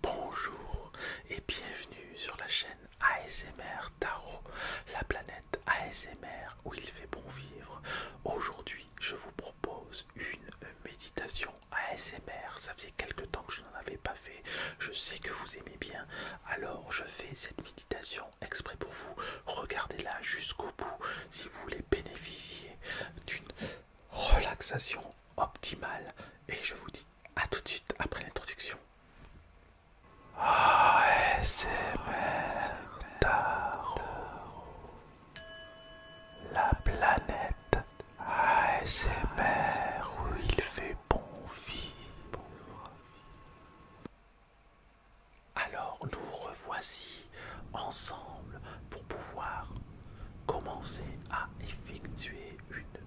Bonjour et bienvenue sur la chaîne ASMR Tarot, la planète ASMR où il fait bon vivre. Aujourd'hui, je vous propose une méditation ASMR. Ça faisait quelques temps que je n'en avais pas fait. Je sais que vous aimez bien, alors je fais cette méditation exprès pour vous. Regardez-la jusqu'au bout si vous voulez bénéficier d'une relaxation optimale. Et je vous dis à tout de suite après l'introduction. ASMR ah La planète ASMR ah où il fait bon vie Alors nous revoici ensemble pour pouvoir commencer à effectuer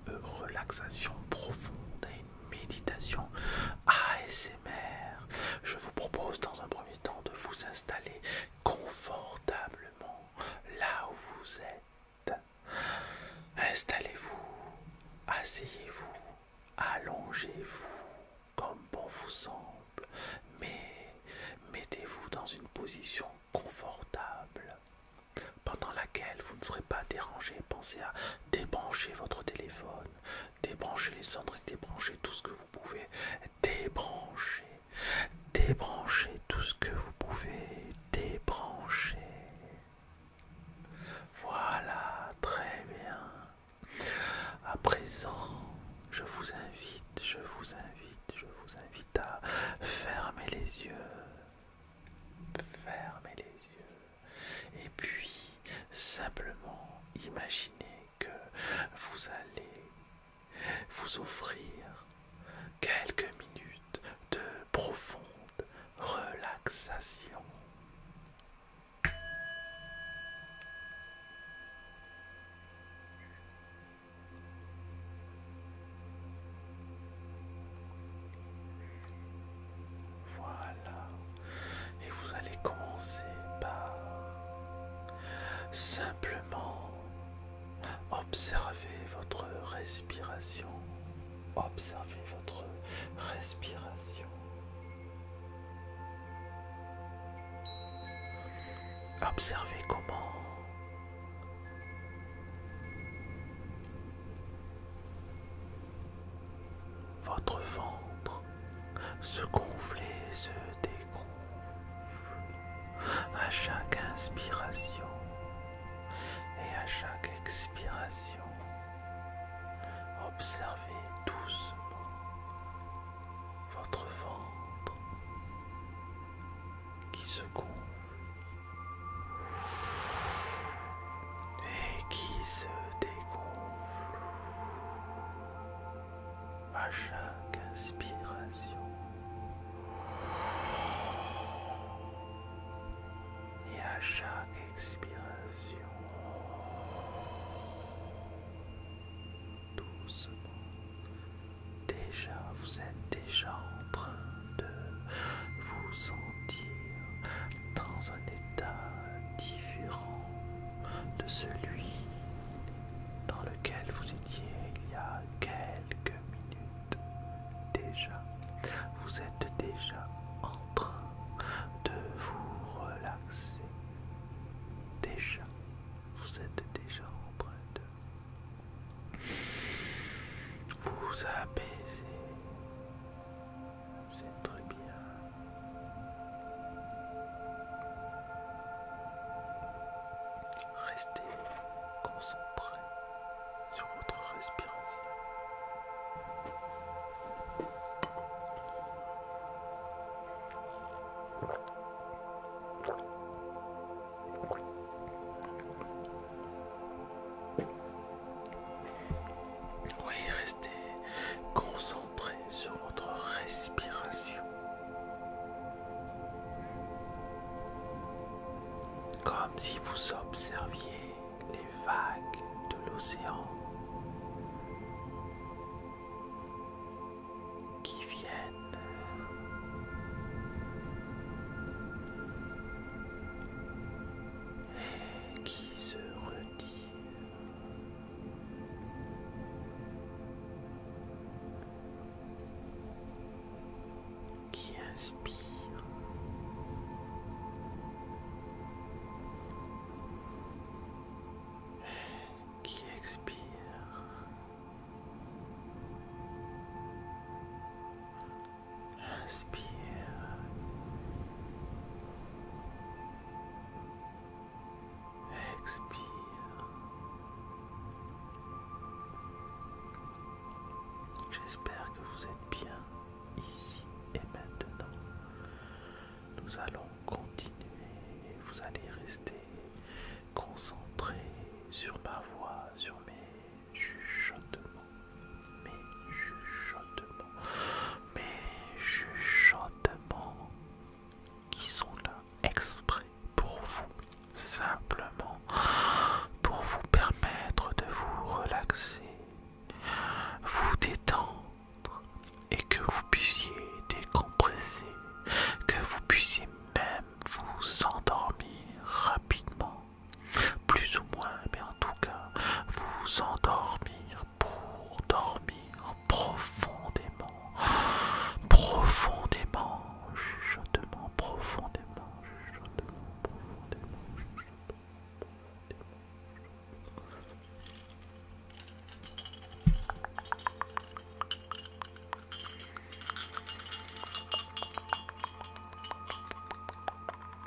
une relaxation profonde et une méditation ASMR. Je vous propose dans un premier temps de vous installer confortablement là où vous êtes. Installez-vous, asseyez-vous, allongez-vous comme bon vous semble, mais mettez-vous dans une position confortable pendant laquelle vous ne serez pas dérangé. Pensez à débrancher votre téléphone, débrancher les cendres et débrancher tout ce que vous pouvez. Débrancher, débrancher tout ce que vous pouvez. Débrancher. Voilà, très bien. À présent, je vous invite, je vous invite, je vous invite à fermer les yeux. Fermez les yeux et puis simplement imaginez que vous allez vous offrir quelques minutes de profonde relaxation. Voilà. Et vous allez commencer par simplement observer votre respiration. Observer votre respiration. Observez comment votre ventre se gonfle et se dégonfle à chaque inspiration et à chaque expiration. Observez doucement votre ventre qui se gonfle et qui se dégonfle à chaque inspiration et à chaque expiration doucement déjà vous êtes déjà en train de vous sentir dans un état différent de celui dans lequel vous étiez il y a quelques minutes déjà. Vous êtes déjà en train de vous relaxer. Déjà, vous êtes déjà en train de vous apaiser, C'est très bien. Restez concentré sur votre respiration. Oui, restez concentré sur votre respiration. Comme si vous observiez les vagues de l'océan qui viennent qui se retire. Qui inspire qui expire Inspire. Expire. J'espère que vous êtes bien ici et maintenant. Nous allons continuer vous allez rester concentré sur ma voix, sur mes chuchotement, mais chuchotement, mais chuchotements qui sont là exprès pour vous, simplement pour vous permettre de vous relaxer, vous détendre et que vous puissiez décompresser, que vous puissiez même vous endormir rapidement. Plus ou moins, mais en tout cas, vous endormir pour dormir profondément. Profondément, chuchotement, profondément, chuchotement, profondément, chuchotement. Profondément,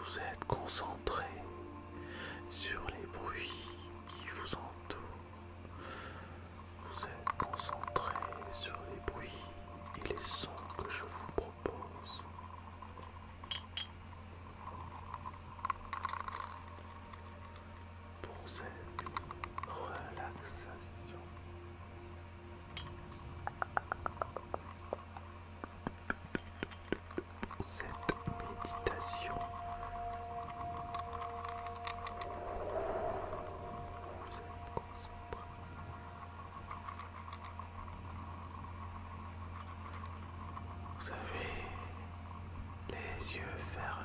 Vous êtes concentré sur les bruits qui vous entourent. Vous êtes concentré sur les bruits et les sons que je vous propose. Pour cette relaxation cette méditation. Vous êtes avez les yeux fermés.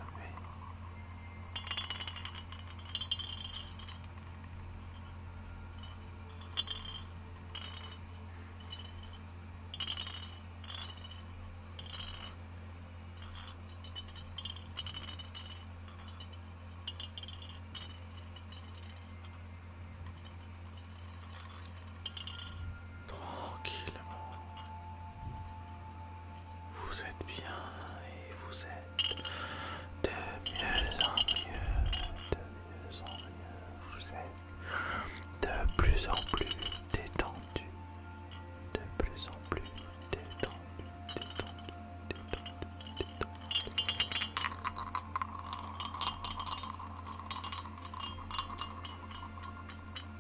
Tranquillement. Vous êtes bien et vous êtes de mieux en mieux, de mieux en mieux. Vous êtes de plus en plus détendu, de plus en plus détendu, détendu, détendu, détendu,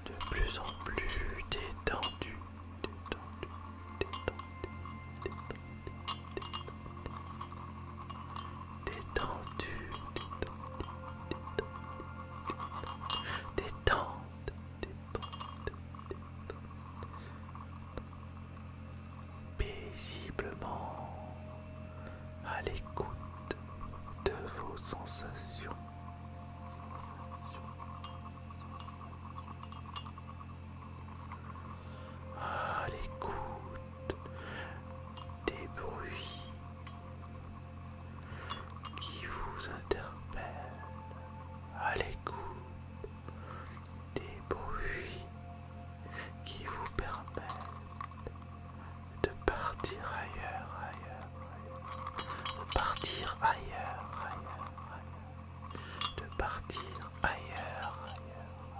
de plus en plus détendu, détendu, détendu, détendu, détendu détendu, détente, détente, détente, paisiblement à l'écoute de vos sensations. À l'écoute des bruits qui vous interpelle à l'écoute des bruits qui vous permettent de partir ailleurs, ailleurs, ailleurs, de partir ailleurs, ailleurs, de partir ailleurs, ailleurs, ailleurs,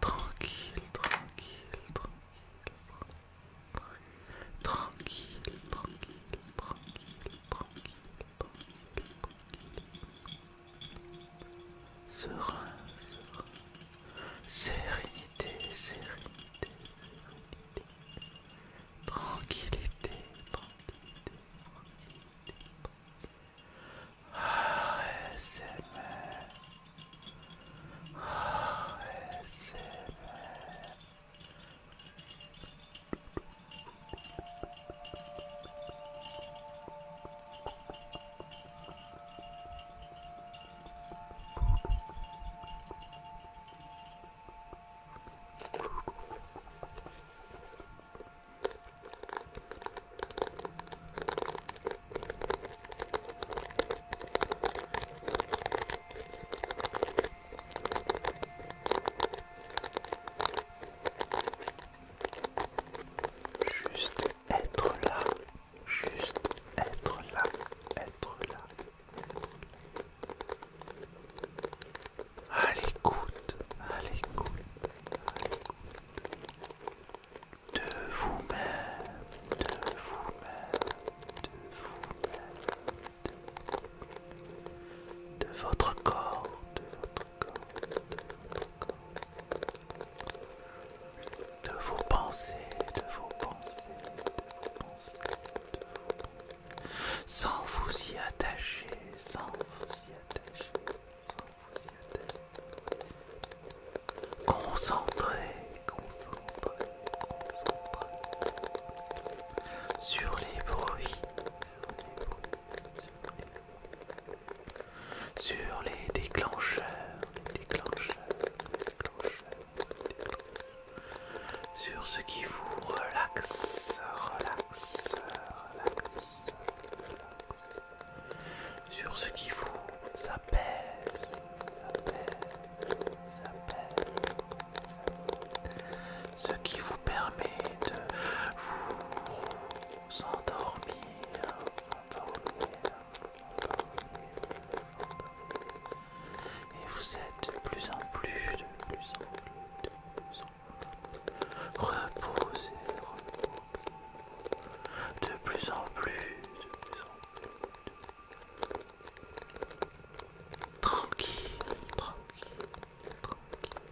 Tranquille, tranquille, tranquille, tranquille, tranquille, tranquille, tranquille, tranquille, tranquille, serein, sérénité, sérénité. Tranquillité, tranquillité, Juste être là, juste être là, être là. À l'écoute, à l'écoute, de vous-même, de vous-même, de vous-même, de votre corps, de votre corps, de votre corps, de vos pensées, de vos pensées, de vos pensées, de vos pensées. Sans vous y attacher, sans vous y attacher, sans vous y attacher. Concentrez, concentrez, concentrez. Sur les bruits, sur les déclencheurs, les déclencheurs, les déclencheurs sur ce qui vous relaxe, relaxe, relaxe, relaxe. sur ce qui vous apaise, apaise, ce qui vous permet de vous endormir, endormir. Et vous êtes de plus en plus, de plus en plus, de plus en plus reposé, De plus en plus, de plus en plus. Tranquille, tranquille, tranquille.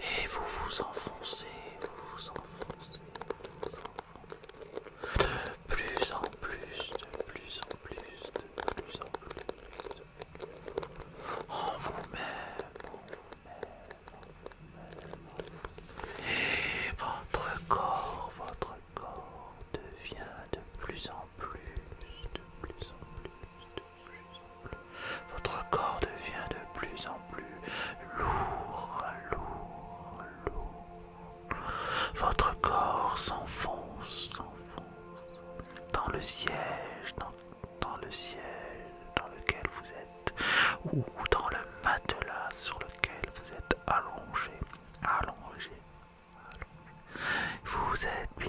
Et vous vous enfoncez, vous vous enfoncez, vous vous enfoncez. De plus en plus, de plus en plus, de plus en plus. En vous-même, et votre corps, votre corps devient de plus en plus, de plus en plus, de plus en plus. Votre corps devient de plus en plus lourd, lourd, lourd. Votre corps s'enfonce, s'enfonce dans le siège, dans, le siège dans lequel vous êtes, ou dans le matelas sur lequel vous êtes allongé, allongé. vous êtes bien.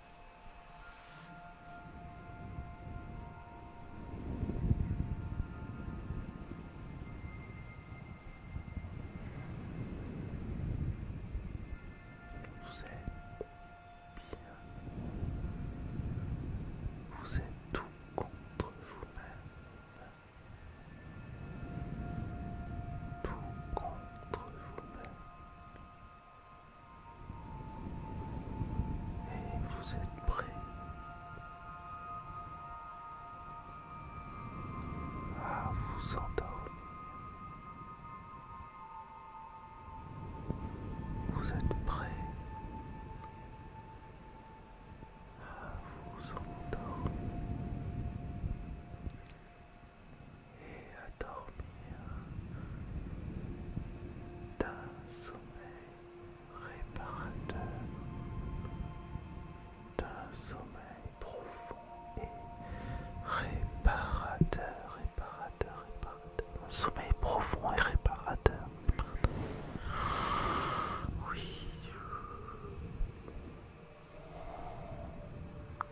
Vous êtes bien. Vous êtes tout contre vous-même. Tout contre vous-même. Et vous êtes prêt à ah, vous endormir. Vous êtes prêt à ah, vous endormir et à dormir d'un sommeil réparateur, d'un sommeil profond et réparateur, réparateur, réparateur, un sommeil profond et réparateur. Oui.